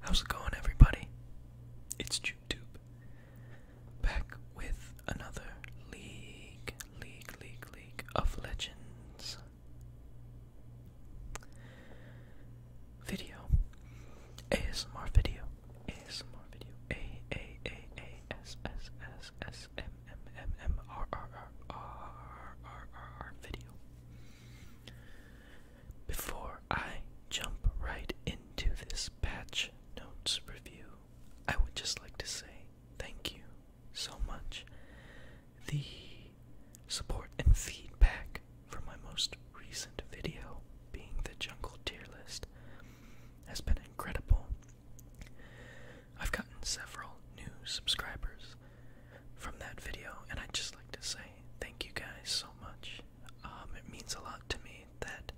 How's it going, everybody? It's YouTube. Back with another League, League, League, League of Legends video. ASMR video. ASMR video. A A A A S S S S M M M M R R R R R R video. Before I jump right into this patch notes review, I would just like to say thank you so much. The support and feedback for my most recent video, being the jungle tier list, has been incredible. I've gotten several new subscribers from that video, and I'd just like to say thank you guys so much. Um, it means a lot to me that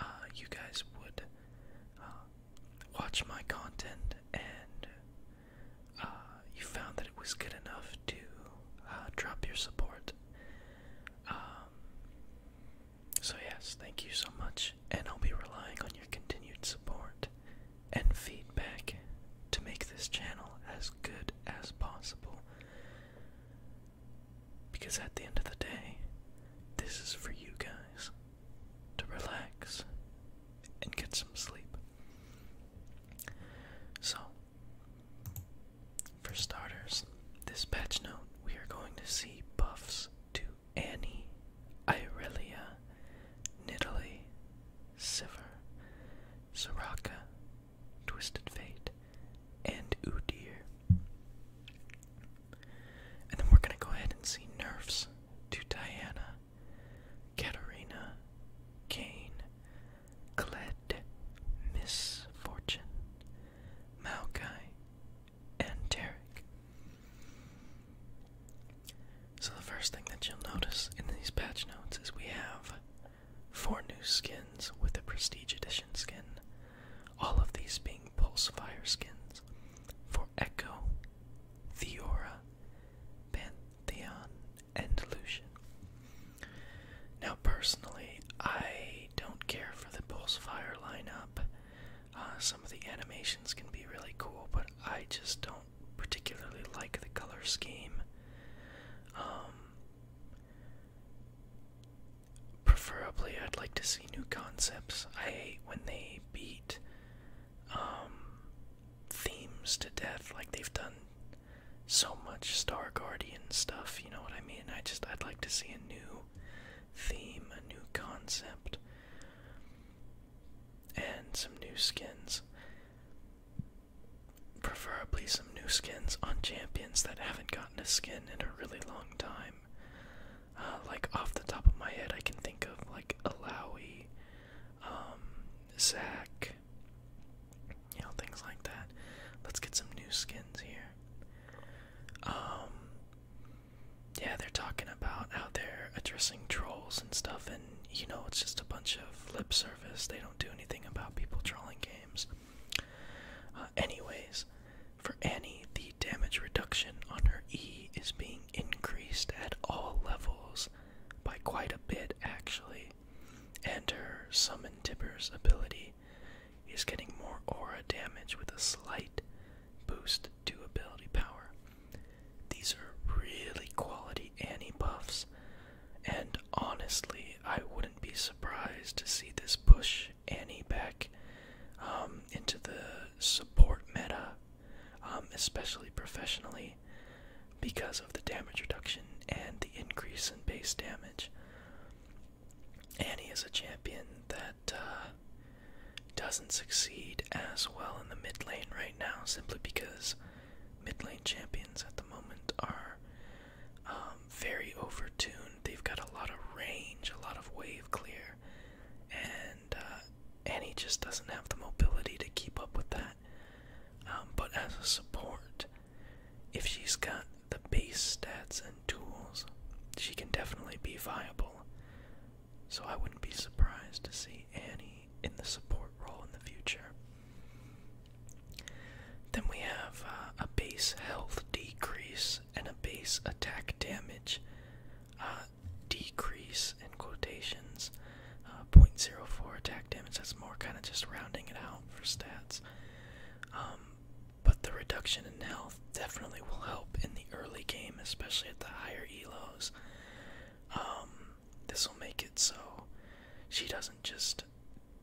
uh, you guys would uh, watch my content and uh, you found that it was good enough to drop your support. Um, so, yes, thank you so much, and I'll be relying on your continued support and feedback to make this channel as good as possible. Because at the end of the day, this is for you guys to relax and get some sleep. So, for starters, this patch note we are going to see buffs to Annie, Irelia, Nidalee, Sivir, Soraka, Twisted Fate, and Ooh Dear. And then we're gonna go ahead and see nerfs to Diana, Katerina, Kane, Cled, Miss Fortune, Maokai, and Tarek. So the first thing that you'll notice in these patch notes is we have four new skins with a Prestige Edition skin, all of these being Pulsefire skins for Echo, Theora, Pantheon, and Lucian. Now, personally, I don't care for the Pulsefire lineup. Uh, some of the animations can be really cool, but I just don't particularly like the color scheme. Um, preferably I'd like to see new concepts. I hate when they beat um, themes to death like they've done so much Star Guardian stuff, you know what I mean? I just I'd like to see a new theme, a new concept and some new skins. Preferably some new skins on champions that haven't gotten a skin in a really long time. Uh, like off the top of my head, I can think of like Alawi, um, Zack, you know, things like that. Let's get some new skins here. Um, yeah, they're talking about out there addressing trolls and stuff, and you know, it's just a bunch of lip service. They don't do anything about people trolling games. Uh, anyways, for Annie, the damage reduction on her E is being increased at all levels by quite a bit, actually, and her Summon Tipper's ability is getting more aura damage with a slight boost to ability power. These are really quality Annie buffs and honestly, I wouldn't be surprised to see this push Annie back um, into the support meta, um, especially professionally, because of the damage reduction and the increase in base damage. Annie is a champion that uh, doesn't succeed as well in the mid lane right now simply because mid lane champions at the moment are um, very overtuned. They've got a lot of range, a lot of wave clear, and uh, Annie just doesn't have the mobility to keep up with that. Um, but as a support, if she's got the base stats and tools, she can definitely be viable. So I wouldn't be surprised to see Annie in the support role in the future. Then we have uh, a base health decrease and a base attack damage uh, decrease in quotations. Uh, 0.04 attack damage, that's more kind of just rounding it out for stats. Um, but the reduction in health definitely will help in the early game, especially at the higher elos. Um, this will make it so she doesn't just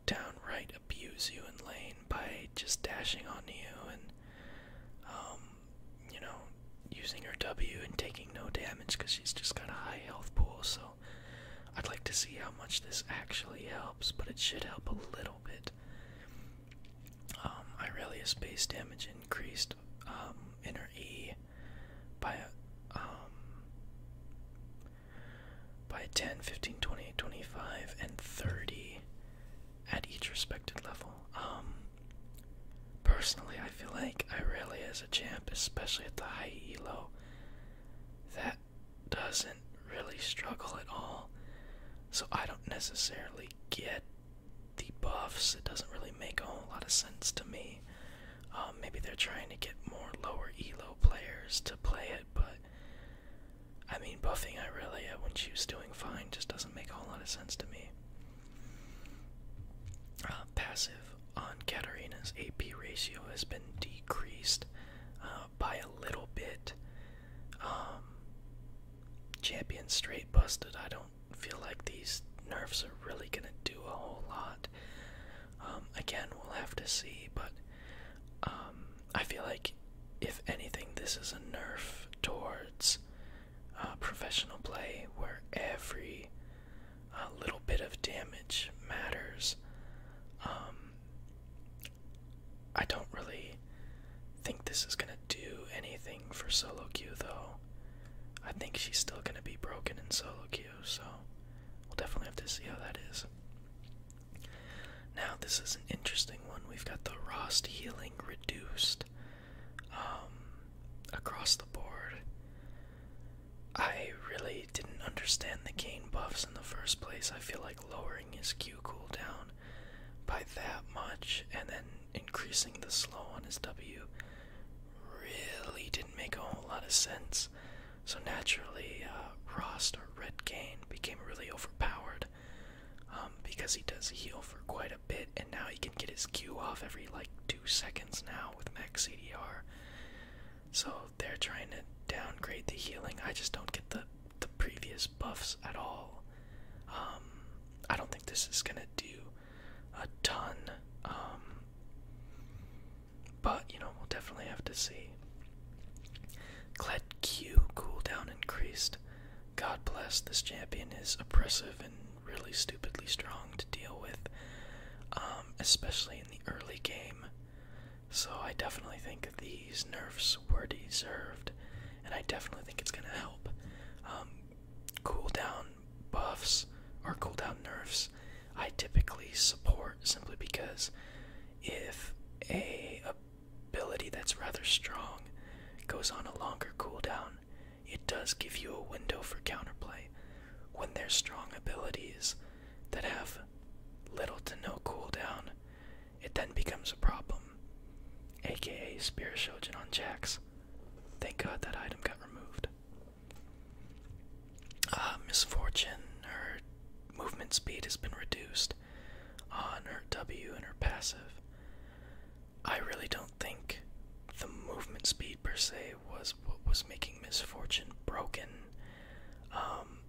downright abuse you in lane by just dashing on you and, um, you know, using her W and taking no damage because she's just got a high health pool. So I'd like to see how much this actually helps, but it should help a little bit. Um, base damage increased um, in her E by um, by 10, 15, 20, 25, and 30 at each respected level. Um, personally, I feel like I really, as a champ, especially at the high elo, that doesn't really struggle at all. So I don't necessarily get the buffs. It doesn't really make a whole lot of sense to me. Um, maybe they're trying to get more lower elo players to play it, but I mean, buffing Irelia uh, when she was doing fine just doesn't make a whole lot of sense to me. Uh, passive on Katarina's AP ratio has been decreased uh, by a little bit. Um, champion straight busted. I don't feel like these nerfs are really gonna do a whole lot. Um, again, we'll have to see, but um, I feel like if anything, this is a nerf towards uh, professional play where every uh, little bit of damage matters. Um, I don't really think this is going to do anything for solo queue, though. I think she's still going to be broken in solo queue, so We'll definitely have to see how that is. Now, this is an interesting one. We've got the Rost healing reduced um, across the board. I really didn't understand the gain buffs in the first place. I feel like lowering his Q cooldown by that much and then increasing the slow on his W really didn't make a whole lot of sense. So naturally, uh, Rost or Red Kane became really overpowered um, because he does heal for quite a bit, and now he can get his Q off every like two seconds now with max EDR. So they're trying to downgrade the healing. I just don't get the the previous buffs at all. Um, I don't think this is gonna do a ton. Um, but, you know, we'll definitely have to see. Clet Q cooldown increased. God bless, this champion is oppressive and really stupidly strong to deal with, um, especially in the early game. So I definitely think these nerfs were deserved, and I definitely think it's going to help. Um, cooldown buffs, or cooldown nerfs, I typically support simply because if a ability that's rather strong goes on a longer cooldown, it does give you a window for counterplay. When there's strong abilities that have little to no cooldown, it then becomes a problem. AKA Spirit Shogun on Jax. Thank God that item got removed uh, misfortune, her movement speed has been reduced on her W and her passive. I really don't think the movement speed per se was what was making misfortune broken. Um,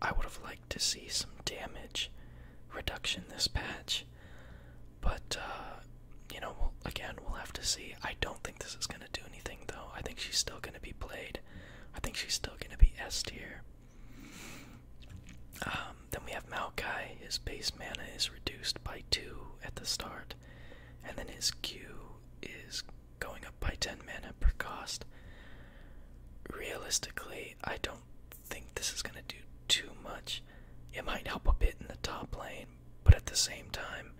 I would have liked to see some damage reduction this patch, but uh, you know, again, we'll have to see. I don't think this is going to do anything though. I think she's still going to be played I think she's still gonna be S tier. Um, then we have Maokai. His base mana is reduced by two at the start, and then his Q is going up by ten mana per cost. Realistically, I don't think this is gonna do too much. It might help a bit in the top lane, but at the same time,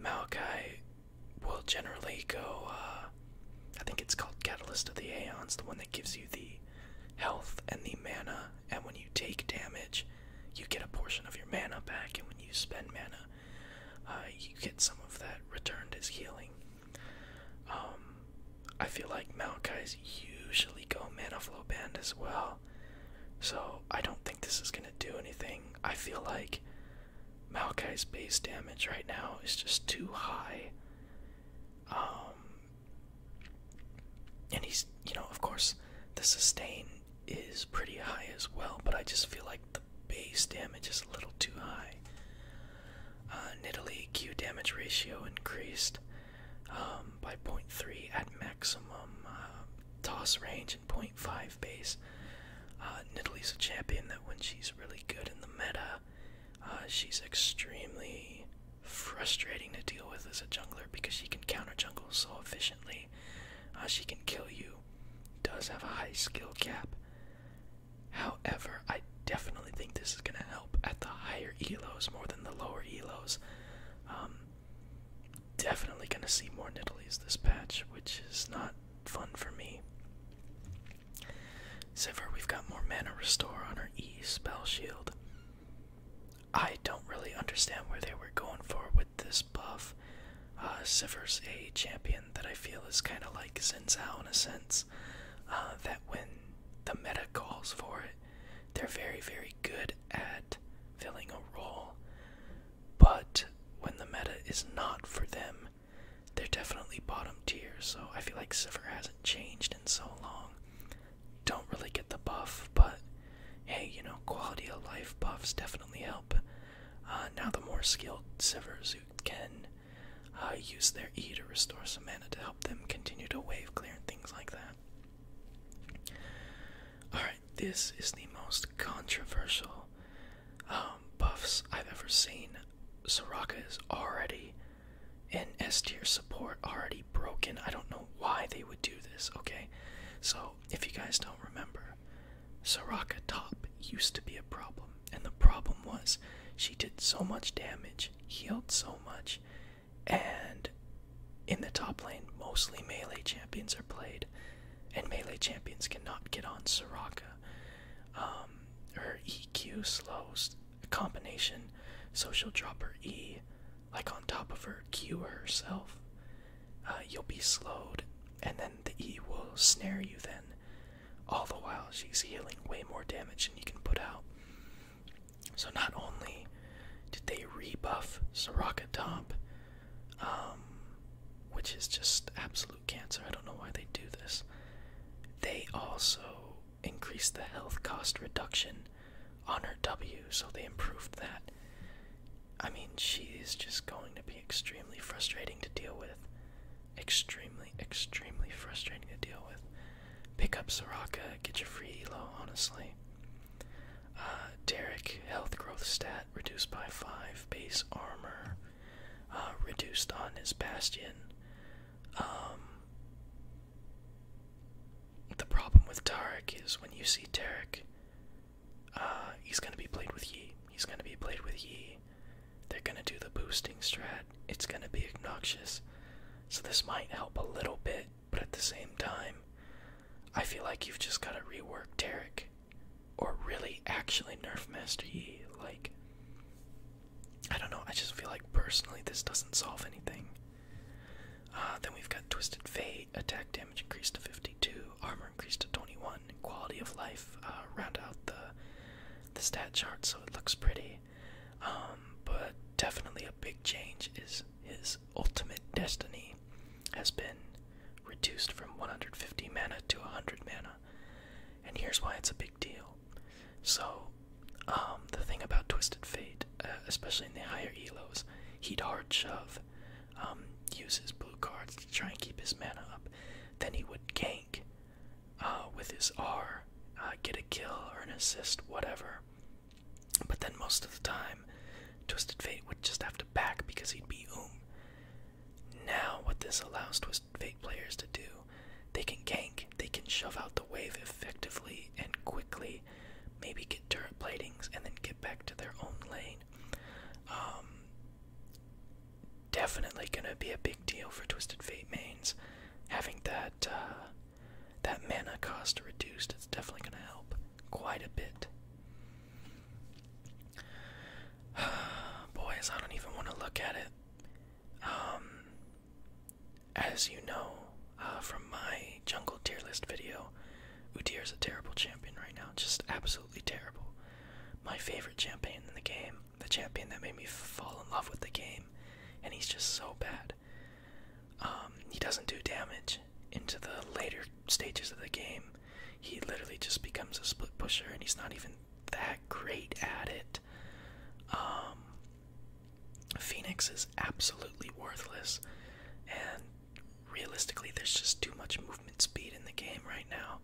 Maokai will generally go. Uh, I think it's called Catalyst of the Aeons, the one that gives you the health and the mana. And when you take damage, you get a portion of your mana back. And when you spend mana, uh, you get some of that returned as healing. Um, I feel like Maokai's usually go mana flow band as well. So I don't think this is gonna do anything. I feel like Maokai's base damage right now is just too high. Um, and he's, you know, of course, the sustain is pretty high as well, but I just feel like the base damage is a little too high. Uh, Q damage ratio increased um, by 0.3 at maximum uh, toss range and 0.5 dive base. Uh, Nidalee's a champion that when she's really good in the meta, uh, she's extremely frustrating to deal with as a jungler because she can counter jungle so efficiently. Uh, she can kill you, does have a high skill cap. However, I definitely think this is going to help at the higher elos more than the lower elos. Um, definitely going to see more Nidalee's this patch, which is not fun for me. Sivir, we've got more mana restore on our E spell shield. I don't really understand where they were going for with this buff. Uh, Sivir's a champion that I feel is kind of like Xin Zhao in a sense. Uh, that when the meta calls for it, they're very, very good at filling a role. But when the meta is not for them, they're definitely bottom tier, so I feel like Sivir hasn't changed in so long. Don't really get the buff, but hey, you know, quality of life buffs definitely help. Uh, now the more skilled Sivers who can uh, use their E to restore some mana to help them continue to wave clear and things like that. Alright, this is the most controversial um, buffs I've ever seen. Soraka is already in S tier support, already broken. I don't know why they would do this, okay? So, if you guys don't remember, Soraka top used to be a problem, and the problem was she did so much damage, healed so much, and in the top lane, mostly melee champions are played, and melee champions cannot get on Soraka. Um, her EQ slows a combination, so she'll drop her E like on top of her Q herself. Uh, you'll be slowed, and then the E will snare you. Then, all the while she's healing way more damage than you can put out. So not only did they rebuff Soraka Top, um, which is just absolute cancer. I don't know why they do this. They also increased the health cost reduction on her W, so they improved that. I mean, she is just going to be extremely frustrating to deal with. Extremely, extremely frustrating to deal with. Pick up Soraka, get your free elo, honestly. Uh, Derek, health growth stat reduced by 5, base armor. Uh, reduced on his bastion. Um, the problem with Tarek is when you see Tarek, uh, he's going to be played with Yi. He's going to be played with Yi. They're going to do the boosting strat. It's going to be obnoxious. So this might help a little bit, but at the same time, I feel like you've just got to rework Tarek or really actually nerf Master Yi. Like, I don't know. I just feel like personally this doesn't solve anything. Uh, then we've got Twisted Fate. Attack damage increased to 52, armor increased to 21, quality of life uh, round out the the stat chart so it looks pretty. Um, but definitely a big change is his ultimate destiny has been reduced from 150 mana to 100 mana. And here's why it's a big deal. So, um, the thing about Twisted Fate, uh, especially in the higher elos, he'd hard shove, um, use his blue cards to try and keep his mana up. Then he would gank uh, with his R, uh, get a kill or an assist, whatever. But then most of the time, Twisted Fate would just have to back because he'd be oom. Now, what this allows Twisted those players to do. They can gank, they can shove out the wave effectively and quickly, maybe get turret platings and then get back to their own lane. Um, definitely gonna be a big deal for Twisted Fate mains. Having that uh, that mana cost reduced, it's definitely gonna help quite a bit. Boys, I don't even want to look at it. Um, as you know uh, from my jungle tier list video, Udyr is a terrible champion right now, just absolutely terrible. My favorite champion in the game, the champion that made me fall in love with the game, and he's just so bad. Um, he doesn't do damage into the later stages of the game. He literally just becomes a split pusher, and he's not even that great at it. Um, Phoenix is absolutely worthless, and realistically, there's just too much movement speed in the game right now.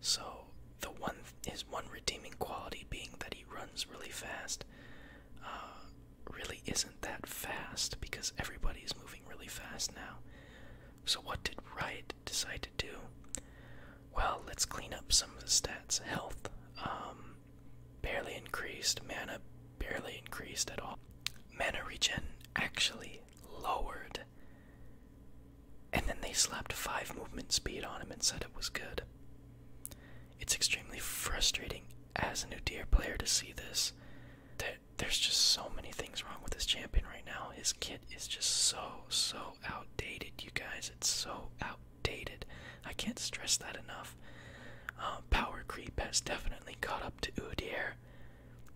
So the one his one redeeming quality being that he runs really fast. Uh, really isn't that fast because everybody is moving really fast now. So what did Riot decide to do? Well, let's clean up some of the stats. Health um, barely increased, mana barely increased at all. Mana regen actually lowered. And then they slapped 5 movement speed on him and said it was good. It's extremely frustrating as a new tier player to see this. there's just so many things wrong with this champion right now. His kit is just so, so outdated, you guys. It's so outdated. I can't stress that enough. Uh, power creep has definitely caught up to Udyr,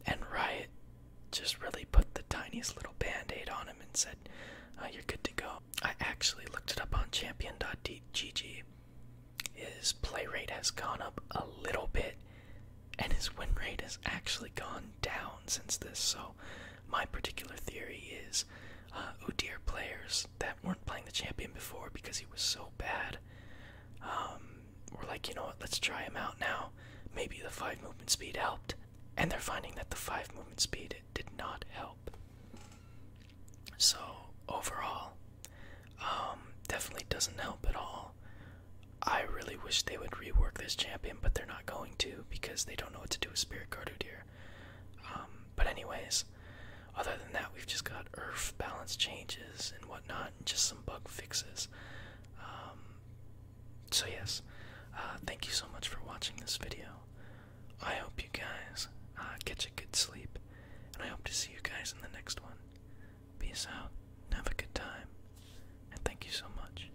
and Riot just really put the tiniest little band aid on him and said, uh, You're good to go. I actually looked it up on champion.gg. His play rate has gone up a little bit, and his win rate has actually gone down since this, so my particular theory is uh, Udir oh players that weren't playing the champion before because he was so bad um, were like, you know what, let's try him out now. Maybe the 5 movement speed helped. And they're finding that the 5 movement speed did not help. So, overall, um, definitely doesn't help at all. I really wish they would rework this champion, but they're not going to because they don't know what to do with Spirit Guard Udir. Um, but anyways, other than that, we've just got Earth balance changes and whatnot, and just some bug fixes. Um, so yes, uh, thank you so much for watching this video. I hope you guys get uh, a good sleep, and I hope to see you guys in the next one. Peace out, have a good time, and thank you so much.